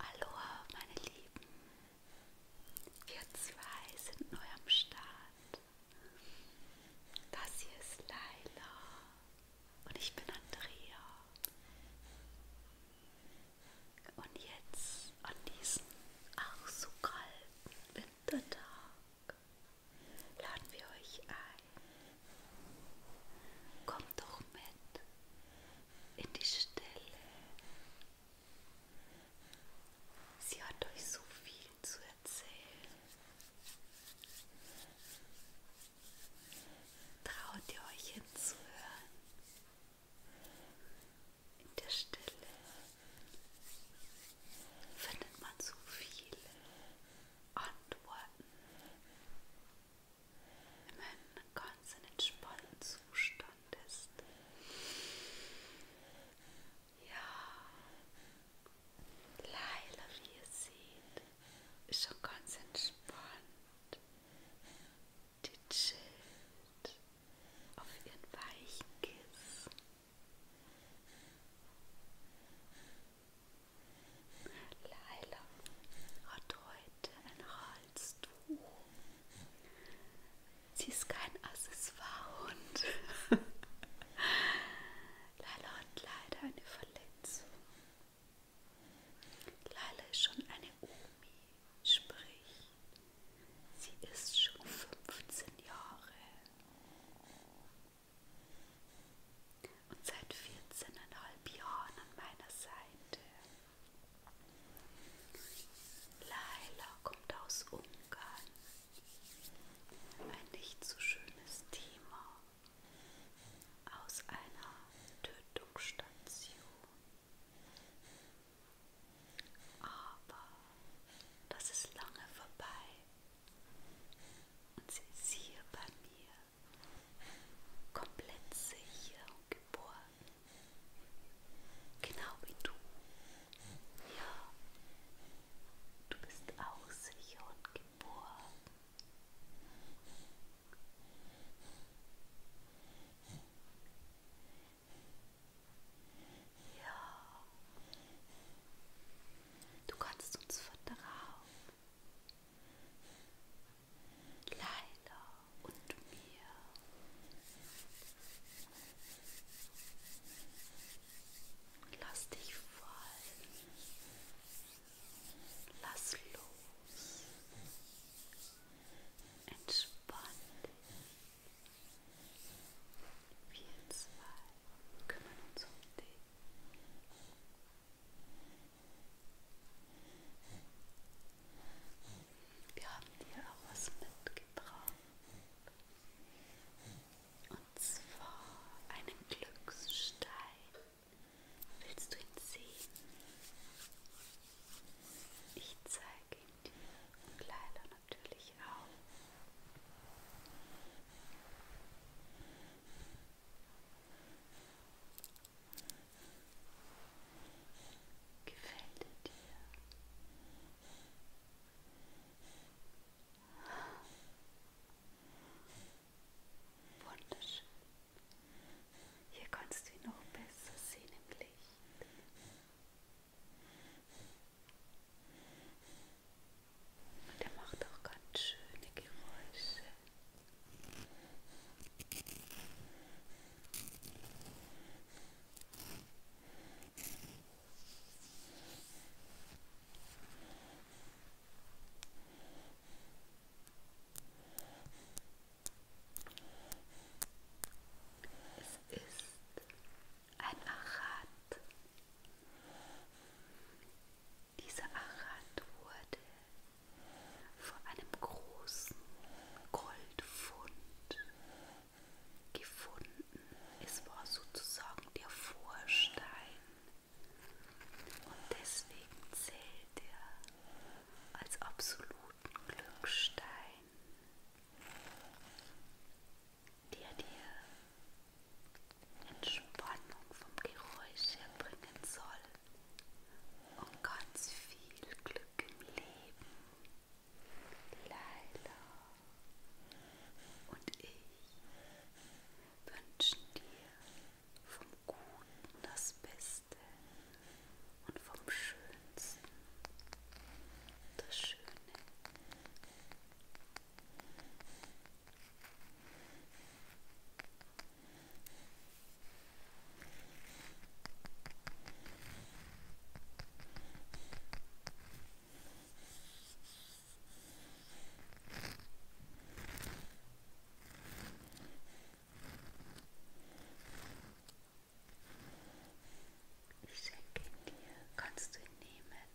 Aloha, meine Lieben, wir zwei sind neu am Start. Das hier ist Laila und ich bin Andrea. Und jetzt an diesem auch so kalten Wintertag laden wir euch ein. Kommt doch mit in die Stille. Sie hat euch so viel zu erzählen. Traut ihr euch hinzuhören? In der Stille findet man so viel antworten wenn man ganz in entspannten Zustand ist. Ja, Leila, wie ihr seht, ist schon ganz entspannt. Die chillt auf ihren weichen Kissen. Laila hat heute ein Halstuch. Sie ist kein Accessoirehund. Laila hat leider eine Verletzung. Laila ist schon eine Omi, sprich, sie ist schon 15 Jahre und seit 14,5 Jahren an meiner Seite. Laila kommt aus Ungarn. Ein nicht so schönes Thema aus einer Tötungsstation. Aber das ist lange vorbei und sie ist hier bei mir, komplett sicher und geboren, genau wie du. Ja, du bist auch sicher und geboren. Ja, Du kannst uns vertrauen. Leila und mir. Lass dich fallen. Lass los. Entspann dich. Wir zwei kümmern uns um dich. Wir haben dir auch was mitgebracht. Und zwar einen Glücksstein. Willst du ihn sehen? Ich zeige ihn dir und Leila natürlich ich auch. Gefällt er dir? Wunderschön. Hier kannst du ihn noch besser sehen im Licht. Der macht auch ganz schöne Geräusche. Es ist ein Achat. Dieser Achat wurde vor einem großen Goldfund gefunden. Es war sozusagen der Vorstein und deswegen zählt er als absoluten Glückstein dir die Entspannung vom Geräusch erbringen soll und ganz viel Glück im Leben. Laila und ich wünschen dir vom Guten das Beste und vom Schönsten das Schöne. Ich schenke ihn dir, kannst du ihn nehmen?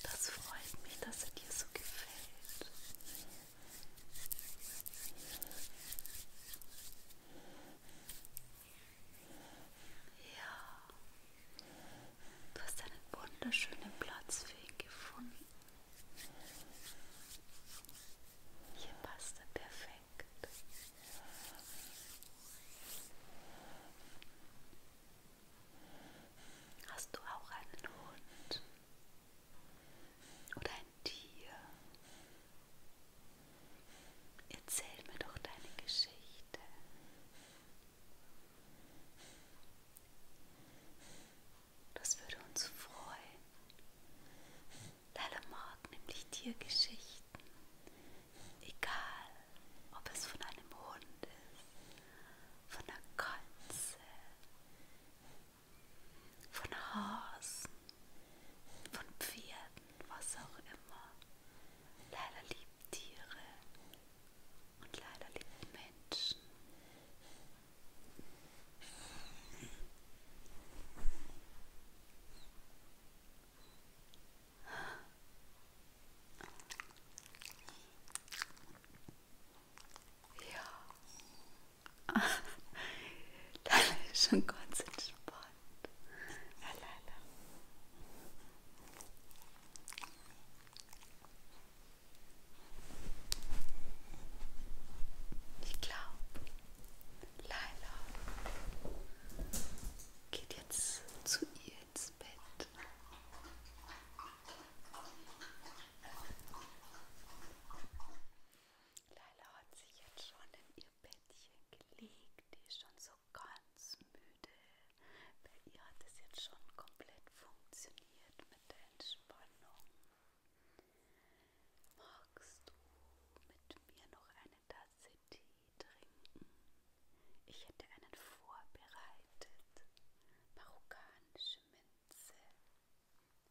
Das freut mich, dass er dir so gefällt. Ja, du hast einen wunderschönen Platz für ihn gefunden. Hier passt er perfekt. Hast du auch einen Hund oder ein Tier? Erzähl mir doch deine Geschichte. Das würde uns freuen. Leila mag nämlich Tiergeschichten, egal ob es von einem Hund ist von der Katze, von Hasen, von Pferden, was auch immer. Leider lieben Tiere und leider lieben Menschen. Ja. Dann ist schon ganz entspannt. Lala. Ich glaube, Laila geht jetzt zu ihr ins ins Bett. Laila hat sich jetzt schon in ihr Bettchen gelegt. Die ist schon so ganz müde. Bei ihr hat es jetzt schon komplett funktioniert mit der Entspannung. Magst du mit mir noch eine Tasse Tee trinken? Ich hätte einen vorbereitet. Marokkanisch frische Minze.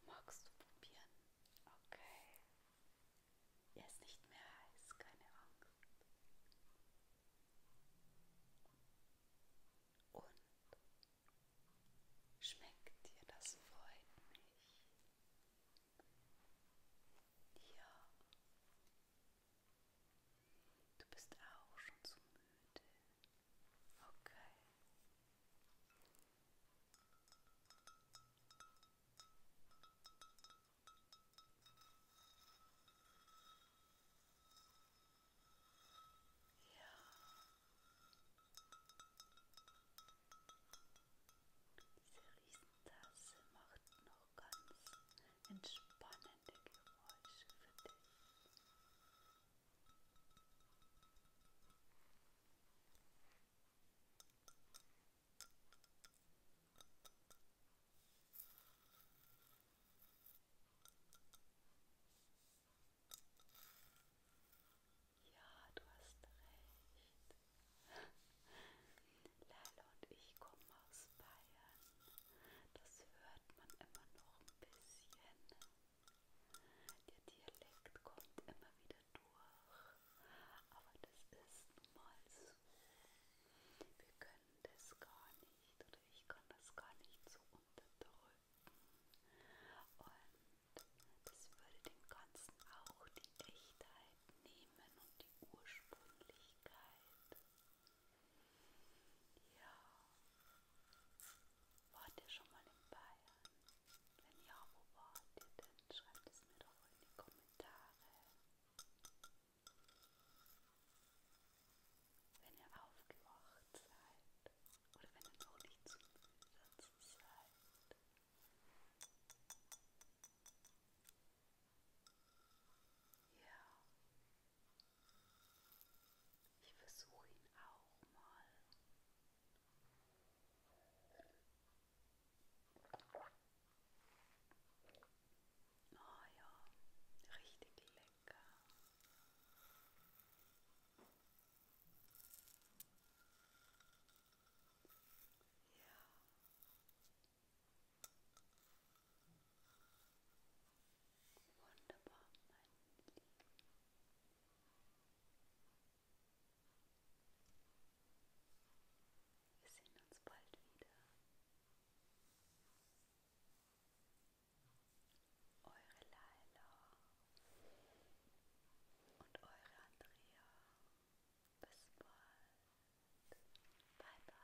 Magst du probieren? Okay. Er ist nicht mehr heiß, keine Angst. Und schmeckt dir das freut mich. Ja. Du bist auch schon zu müde. Okay. Ja. Diese Riesentasse macht noch ganz entspannende Geräusche für dich. Ja, du hast recht. Lalo und ich kommen aus Bayern. Das hört man immer noch ein bisschen. Der Dialekt kommt immer wieder durch. Aber das ist nun mal so. Wir können das gar nicht oder ich kann das gar nicht so unterdrücken. Und das würde dem Ganzen auch die Echtheit nehmen und die Ursprünglichkeit. Ja. Wart ihr schon mal in Bayern? Wenn ja, wo wart ihr denn? Schreibt es mir doch in die Kommentare. Wenn ihr aufgewacht seid oder wenn ihr noch nicht zu müde dazu seid. Ja, ich versuche ihn auch mal. Ah oh ja, richtig lecker. Ja. Wunderbar, mein Lieben. Wir sehen uns bald wieder. Eure Laila und eure Andrea. Bis bald. Bye bye.